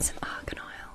Some argan oil.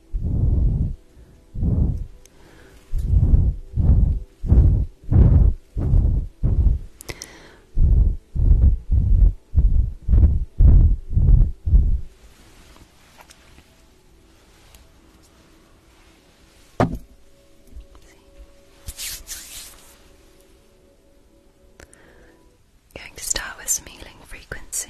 Going to start with some healing frequency.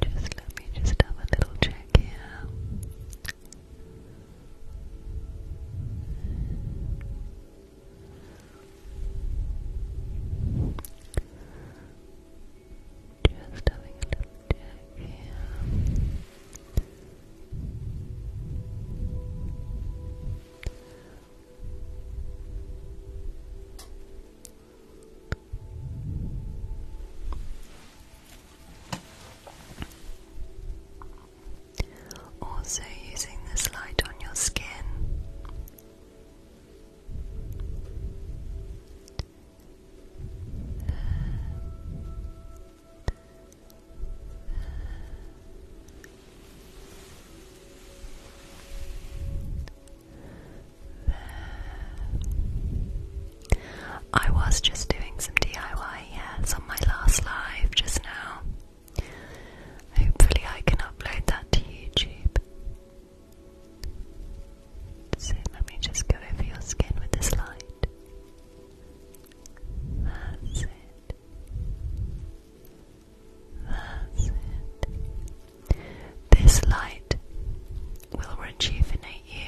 Just let me just have a little check here. Just having a little check here. Also, using this light on your skin I was just doing some DIY, yes, on my last live just now. Hopefully, I can upload that to YouTube. So, let me just go over your skin with this light. That's it. That's it. This light will rejuvenate you.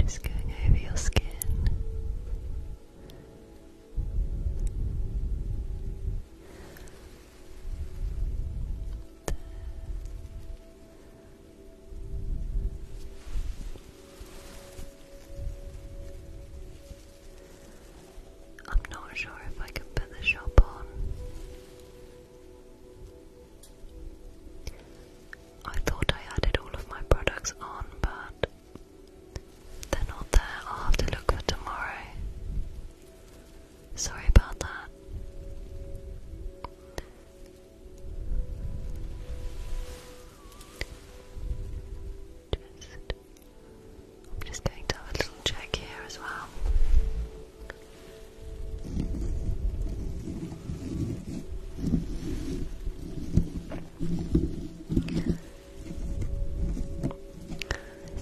Just going over your skin. I'm not sure if I can put the shop on. I thought I added all of my products on, but they're not there, I'll have to look for tomorrow. Sorry about that. I'm just going to have a little check here as well.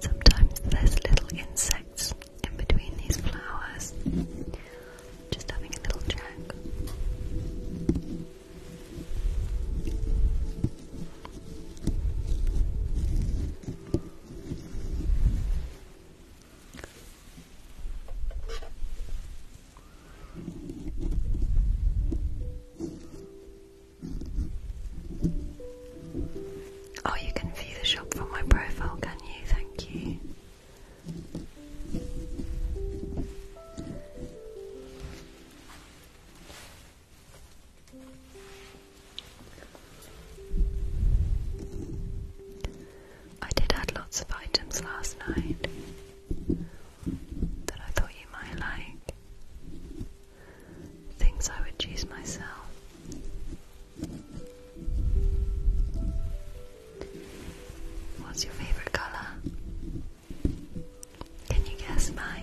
Sometimes there's little insects in between these flowers. Just having a little check. Oh, you can view the shop from my profile, can you? Thank you. I did add lots of items last night that I thought you might like. Things I would choose myself. What's your favourite colour? Can you guess mine?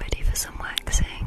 Ready for some waxing?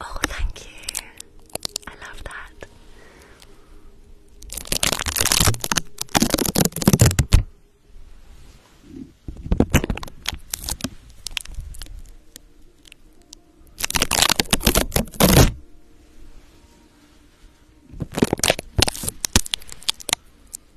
Oh, thank you. I love that.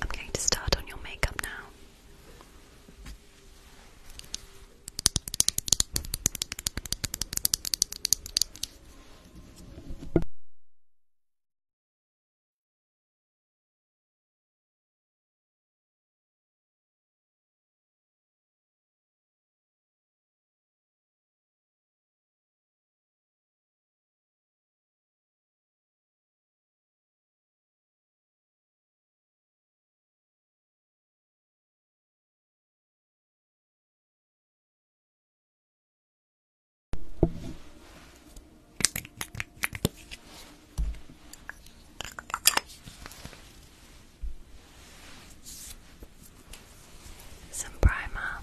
I'm going to start on your makeup now. Some primer.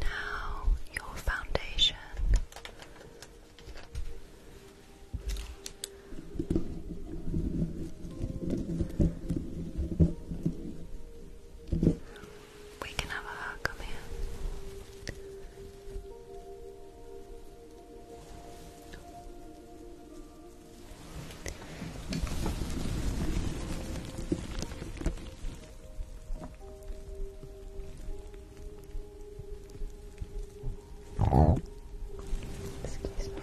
Now, your foundation. We can have a hug. Come here. Excuse me.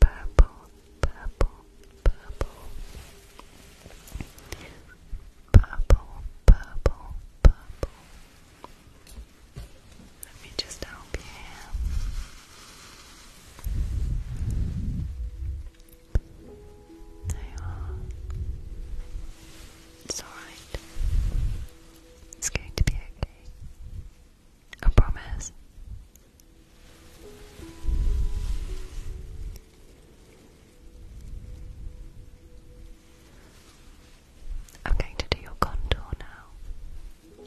purple, purple, purple, purple, purple, purple. Let me just help you It's alright. It's going to be okay. I promise. I'm going to do your contour now.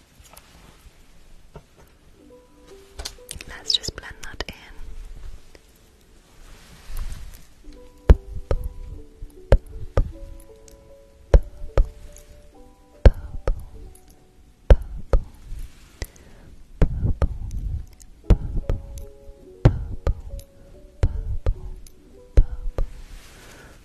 Let's just blend that in.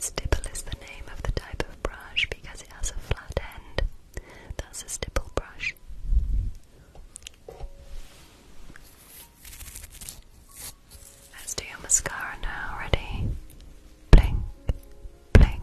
Stipple is the name of the type of brush because it has a flat end. That's a stipple brush. Let's do your mascara now. Ready? Blink, blink,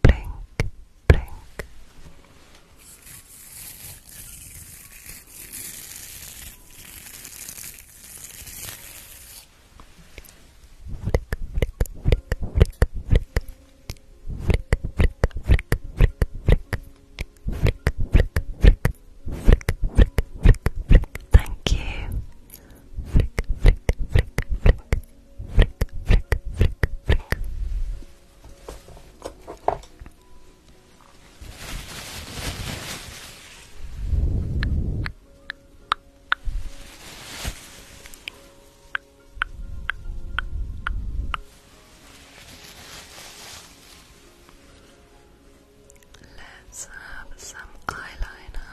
blink, blink. Flick, flick, flick, flick, flick. Flick, flick, flick, flick, flick. Flick, flick, flick, flick, flick, flick, Thank you. Flick, flick, flick, flick. Flick, flick, flick, flick. Let's have some eyeliner.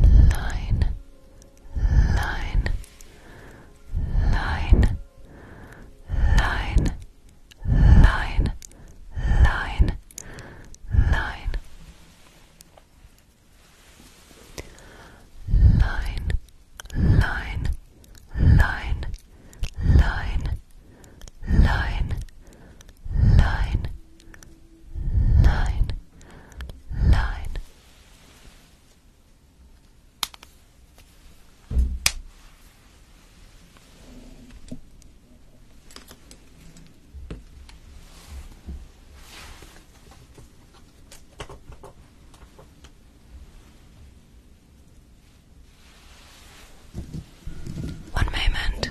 Line, line, line, line, line, line, line line, line, line, line, line, line, line, line. One moment.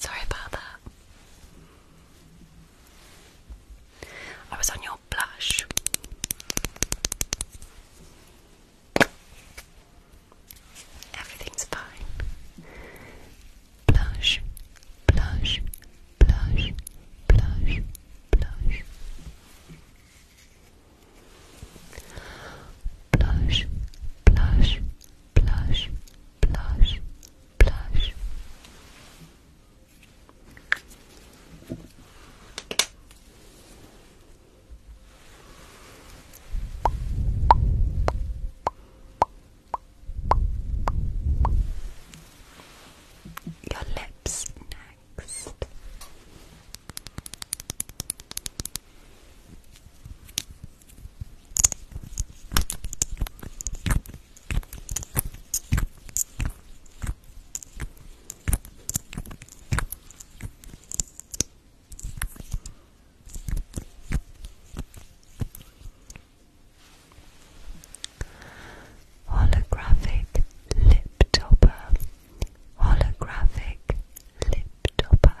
Sorry about that. I was on your blush. Everything's fine. Blush, blush, blush, blush, blush. Blush, blush, blush, blush, blush. Blush, your lips next. Holographic lip topper. Holographic lip topper.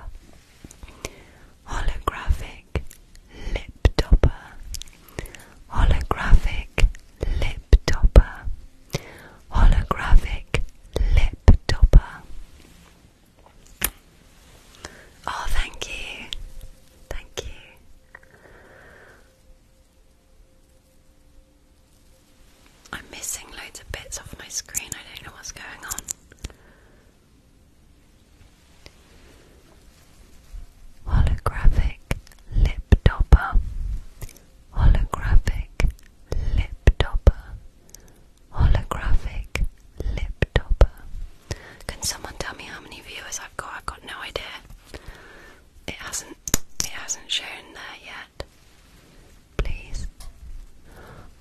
Holographic lip topper. Holographic lip topper. Holographic lip topper. Oh, thank you. Thank you. I'm missing loads of bits off my screen. I don't know what's going on. Holographic lip topper. Holographic lip topper. Holographic lip topper. Can someone tell me how many viewers I've got? I've got no idea. It hasn't it hasn't shown there yet. Please.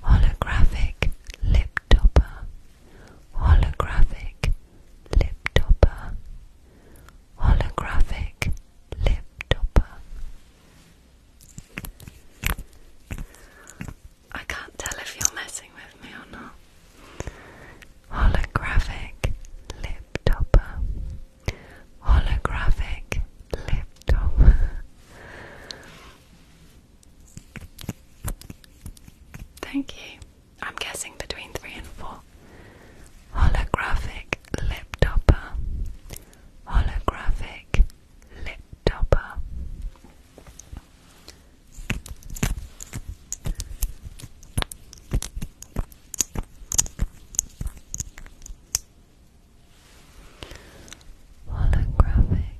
Holographic lip topper. Holographic lip topper. Holographic lip topper. I can't tell if you're messing with me or not. Holographic lip lip topper, holographic lip topper. Thank you. I'm guessing between three and four. Holographic lip topper, holographic lip topper. Oh, Holographic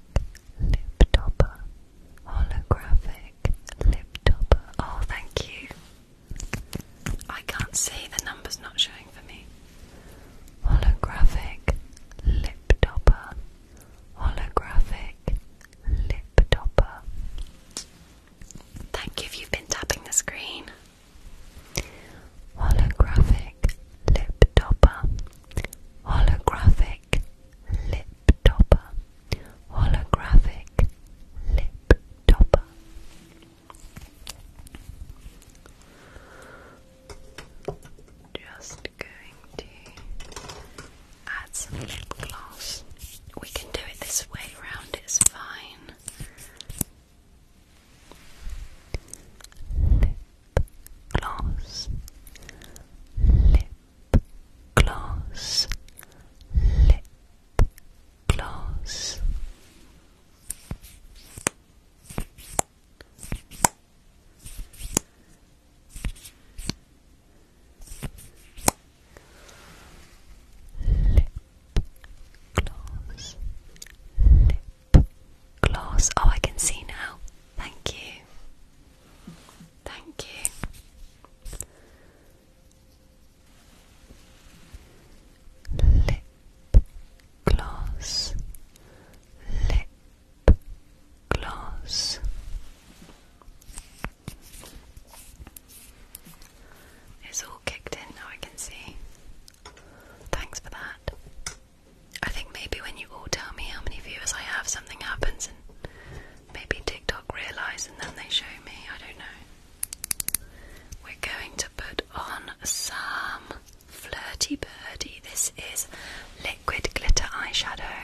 lip topper. Holographic lip topper. Oh, thank you. I can't see, the number's not showing for me. Holographic lip topper. Holographic lip topper. Thank you if you've been tapping the screen. Holographic lip topper. Holographic lip topper. Holographic lip topper. Just going to add some gloss. We can do it this way round, it's fine lip gloss, lip gloss, lip gloss lip gloss, lip gloss. Oh, I can see now. Thank you. Thank you. Lip gloss, lip gloss. It's all kicked in now, I can see. Thanks for that. I think maybe when you all tell me how many viewers I have, something happens and maybe TikTok realise and then they show me. I don't know. We're going to put on some Flirty Birdie. This is liquid glitter eyeshadow.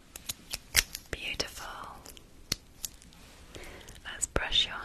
Beautiful. Let's brush your hair.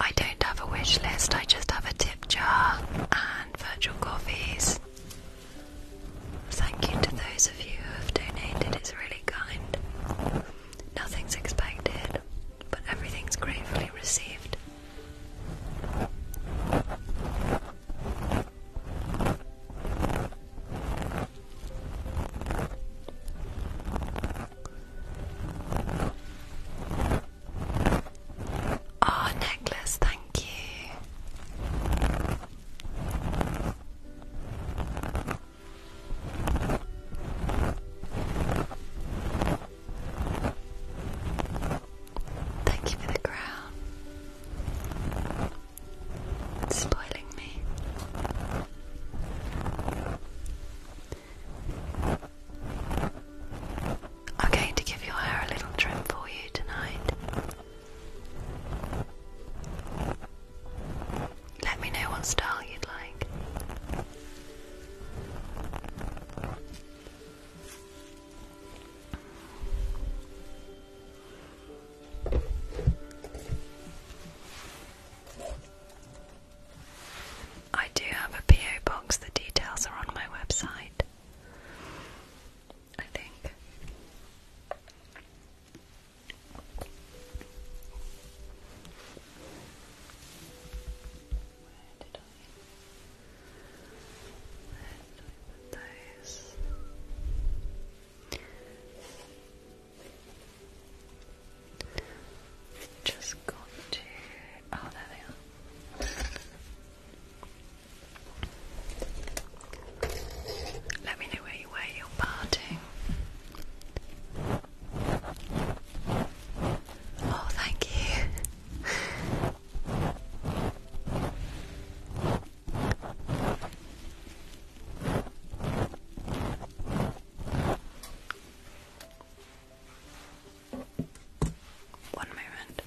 I don't have a wish list, I just have a tip jar and virtual coffees. Thank you to those of you who have donated, it's really kind. Nothing's expected, but everything's gratefully received. Oh, necklace, thank you. Thank you for the crown spoiling me. I'm going to give your hair a little trim for you tonight. Let me know what style you'd like. I do have a PO box, the details are on my website. I think. Just got to. Oh, there they are. Let me know where you were. You're parting. Oh, thank you. One moment. Okay.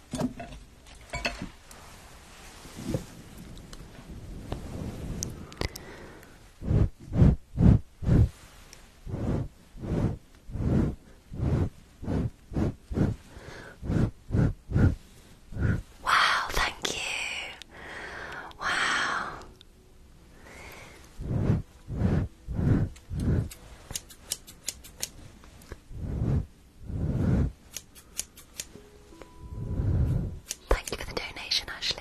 Wow, thank you. Wow. Thank you for the donation, Ashley.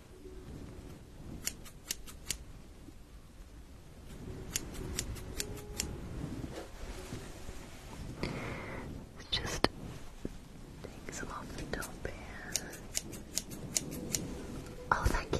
Just take some off the top here. Oh, thank you.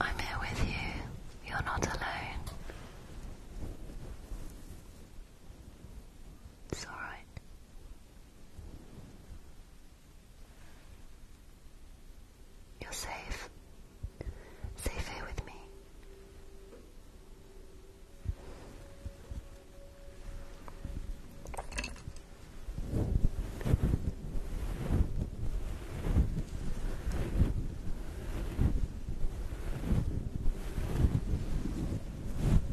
I'm here with you. You're not alone. It's alright. You're safe. Safe here with me.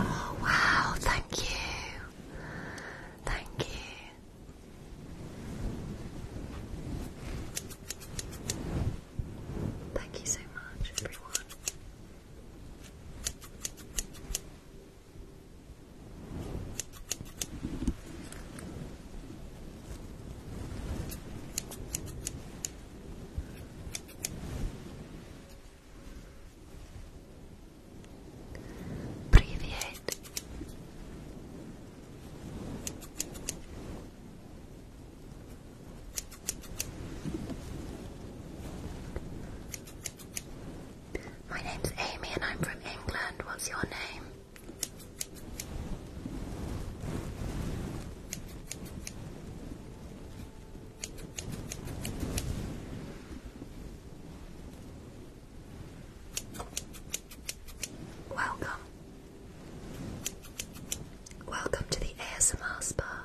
Oh, wow, thank you. Thank you. Thank you so much, everyone. Привет. My name's Amy and I'm from England. What's your name? Welcome. Welcome to the ASMR spa.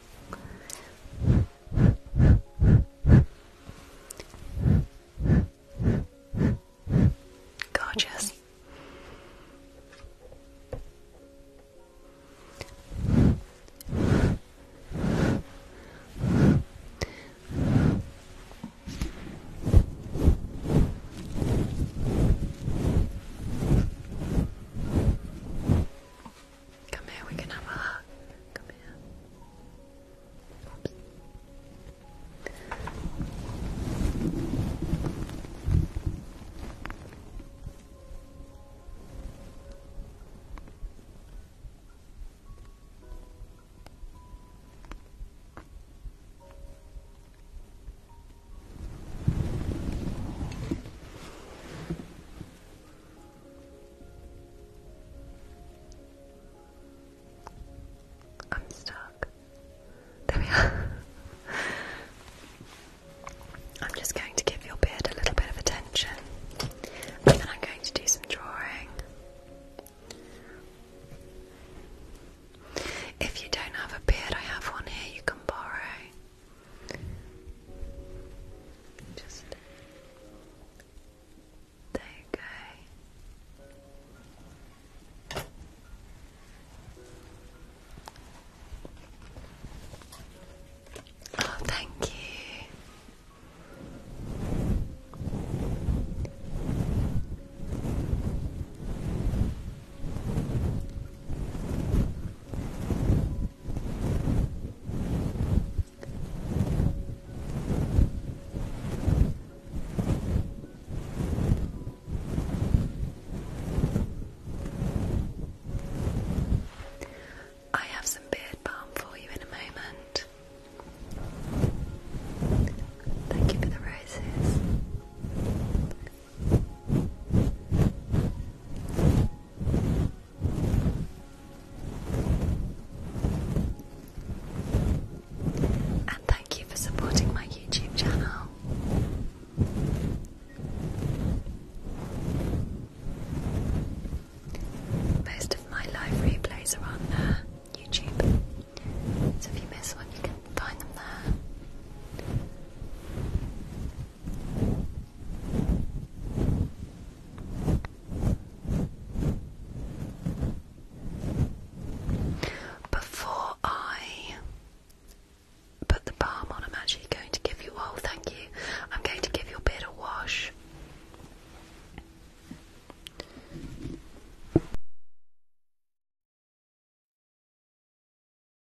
Gorgeous. Come here, we can have a hug. Come here. I'm stuck. There we are. I'm just going to give your beard a little bit of attention, and then I'm going to do some drawing. If you don't have a beard, I have one here you can borrow. Just there you go. Oh, thank you. I have some beard balm for you in a moment. Thank you for the roses. And thank you for supporting my YouTube channel. Most of my live replays are on uh, YouTube, so if you miss one, you can find them there. Before I put the balm on, I'm actually going to give you all, oh, thank you, I'm going to give your beard a wash.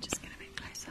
Just get a bit closer.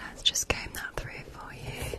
Let's just game that through for you.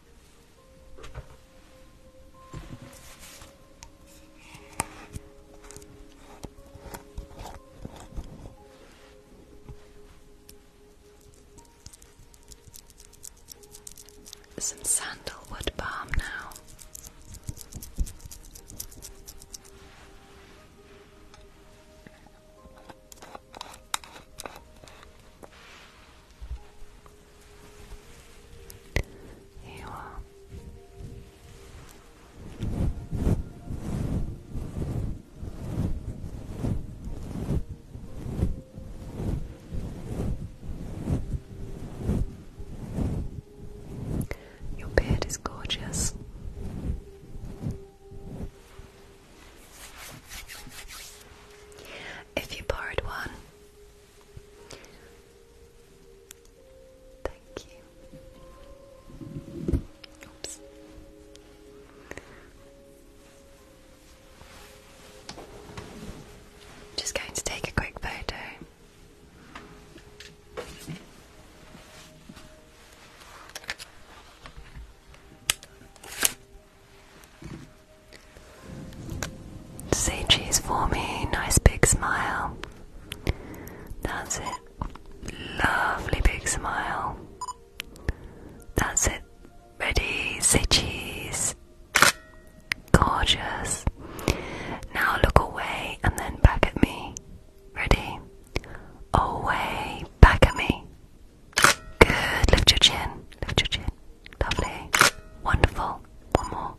Some sandalwood balm now. You are. Your beard is gorgeous. If you borrowed one, Thank you. Oops. Just going to take a quick photo. Say cheese for me, nice big smile. That's it. Lovely big smile. That's it. Ready, say cheese. Gorgeous. Now look away and then back at me. Ready? Away, back at me. Good. Lift your chin. Lift your chin. Lovely. Wonderful. One more.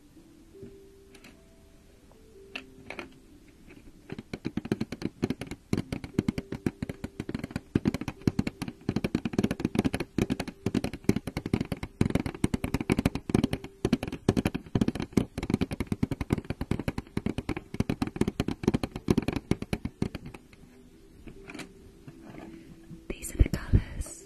These are the colours.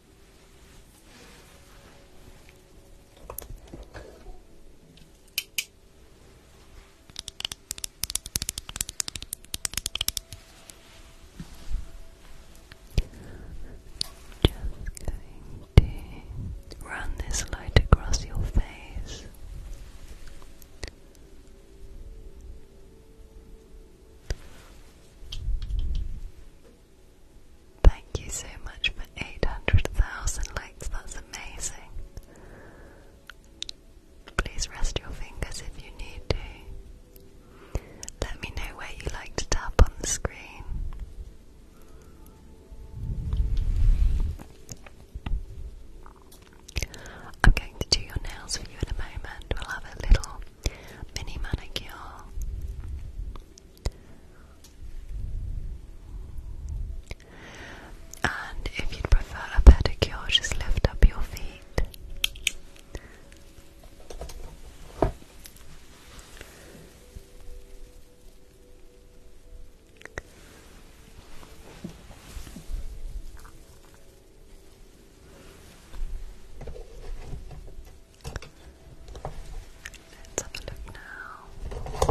Just going to run this light across your face. Thank you so much for 800,000 likes, that's amazing. Please rest your fingers if you need to. Let me know where you like to tap on the screen. I'm going to do your nails for you in a moment. We'll have a little mini manicure. And if you'd prefer a pedicure, just lift up your feet. Let's have a look now.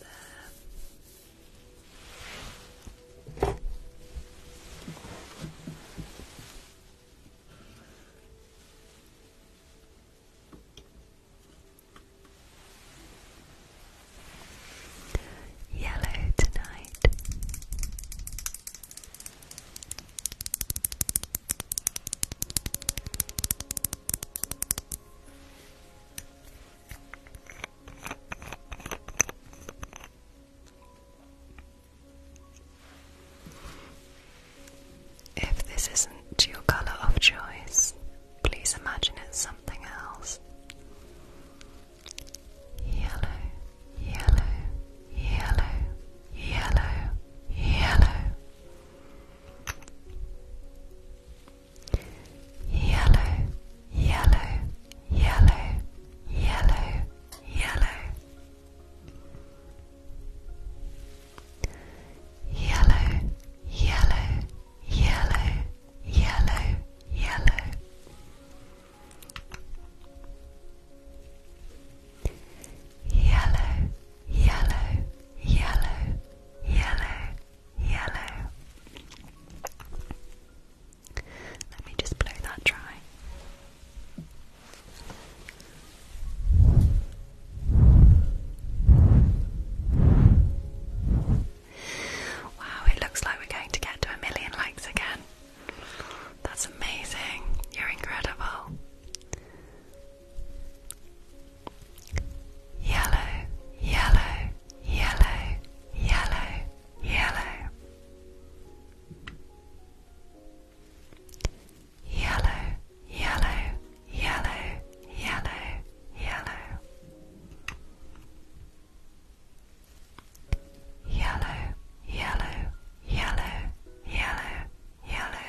There. Yellow tonight. If this isn't your colour of choice, please imagine it's something else. Yellow, yellow, yellow, yellow, yellow yellow, yellow, yellow, yellow, yellow, yellow, yellow, yellow, yellow, yellow. Yellow, yellow, yellow, yellow, yellow. Let me just blow that dry. Wow, it looks like we're going to get to a million likes again. That's amazing. You're incredible yellow, yellow, yellow, yellow, yellow, yellow, yellow, yellow, yellow, yellow. Yellow, yellow, yellow, yellow, yellow.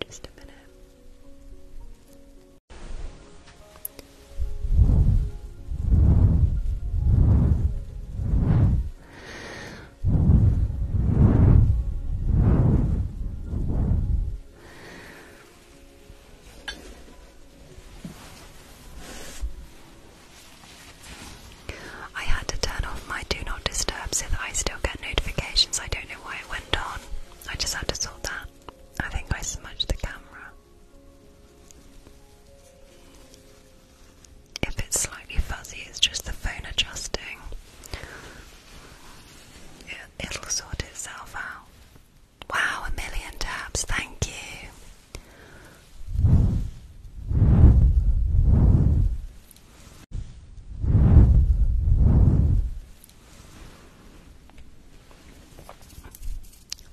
Just a minute. Just I had to turn off my do not disturb so that I still get notifications. I don't know why it went on. I just had to sort that. I think I smudged the camera. If it's slightly fuzzy, it's just the phone adjusting. It, it'll sort itself out. Wow, a million taps, thank you.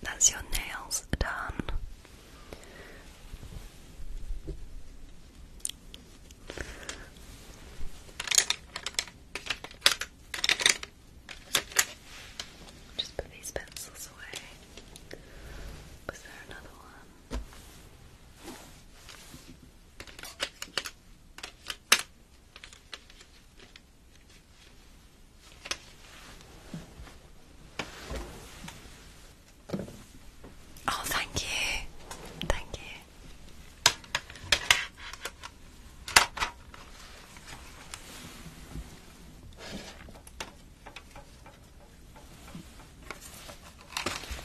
That's your nails done. Just put these pencils away. Was there another one? Oh, thank you. Thank you.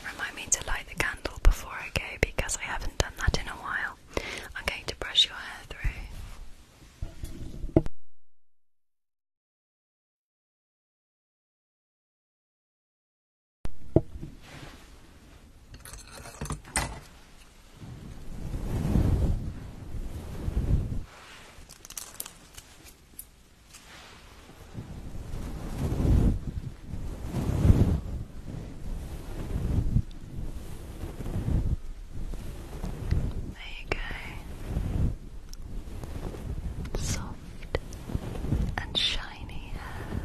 Remind me to light the candle before I go because I haven't done that in a while. I'm going to brush your hair through. There you go. Soft and shiny hair.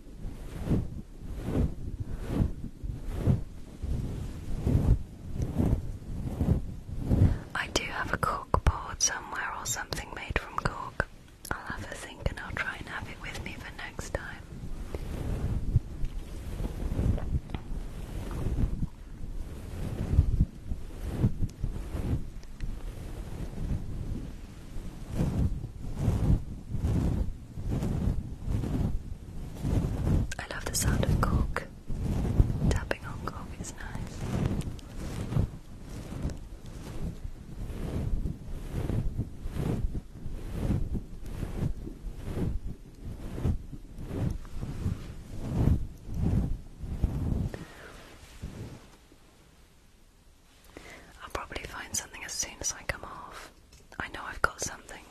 I do have a cork board somewhere or something made from cork. I'll have a think and I'll try and have it with me for next time. I love the sound of cork. Tapping on cork is nice. I'll probably find something as soon as I come off. I know I've got something.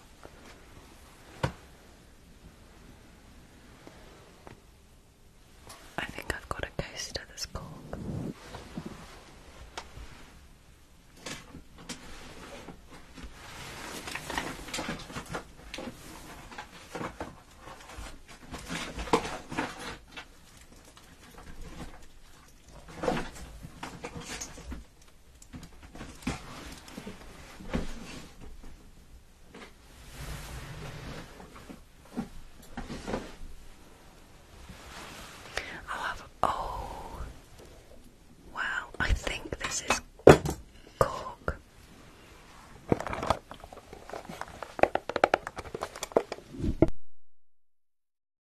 I think I've got a coaster that's cork. I'll have. Oh, oh I think this is cork.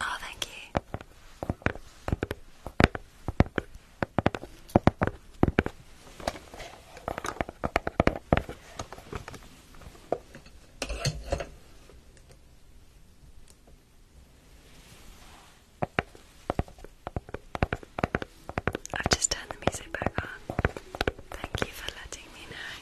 Oh, thank you. I've just turned the music back on. Thank you for letting me know.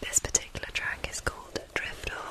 This particular track is called Drift Off.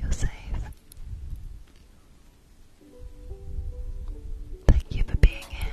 You're safe. Thank you for being here.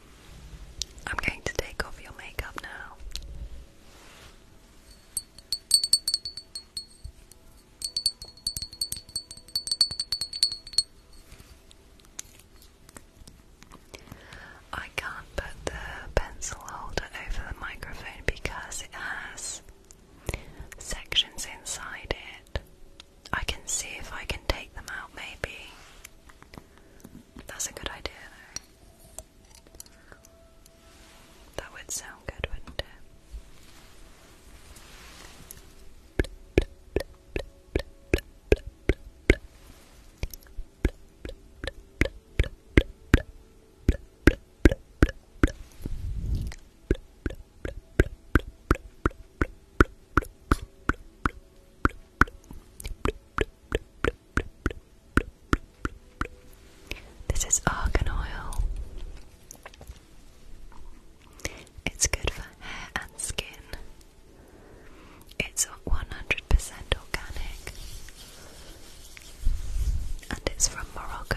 I'm going to take off your makeup now. I can't put the pencil holder over the microphone because it has sections inside it. I can see if I can take them out, maybe. That's a good idea, That would sound good, wouldn't it? This is argan oil. It's good for hair and skin. It's 100% organic. And it's from Morocco.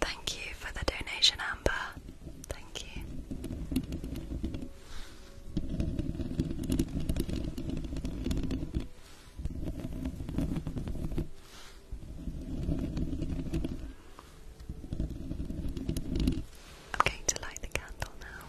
Thank you for the donation, Amber. Thank you. I'm to light the candle now.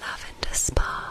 Love Lavender Spa.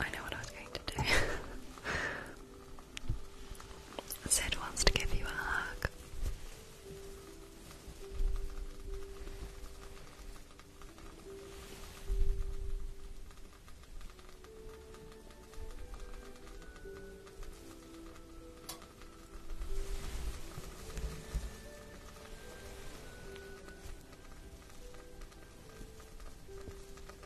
I know what I was going to do. Sid wants to give you a hug.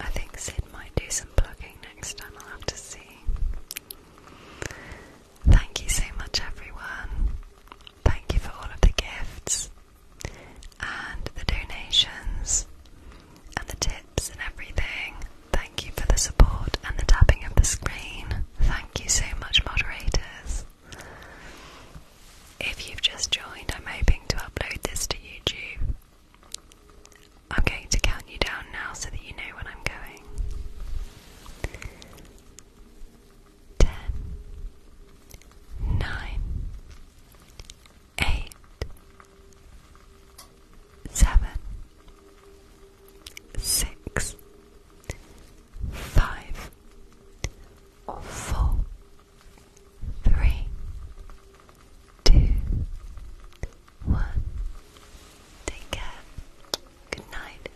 I think Sid might do some plugging next time, I'll have to see. Thank you so much, everyone. Thank you for all of the gifts and the donations and the tips and everything. Thank you for the support and the tapping of the screen. Thank you so much, moderators. If you've just joined, I'm hoping to upload this to YouTube. I'm going to count you down now so that you know when I'm going ten, nine, eight, seven, six, five, four, three, two, one. Take care. Good night.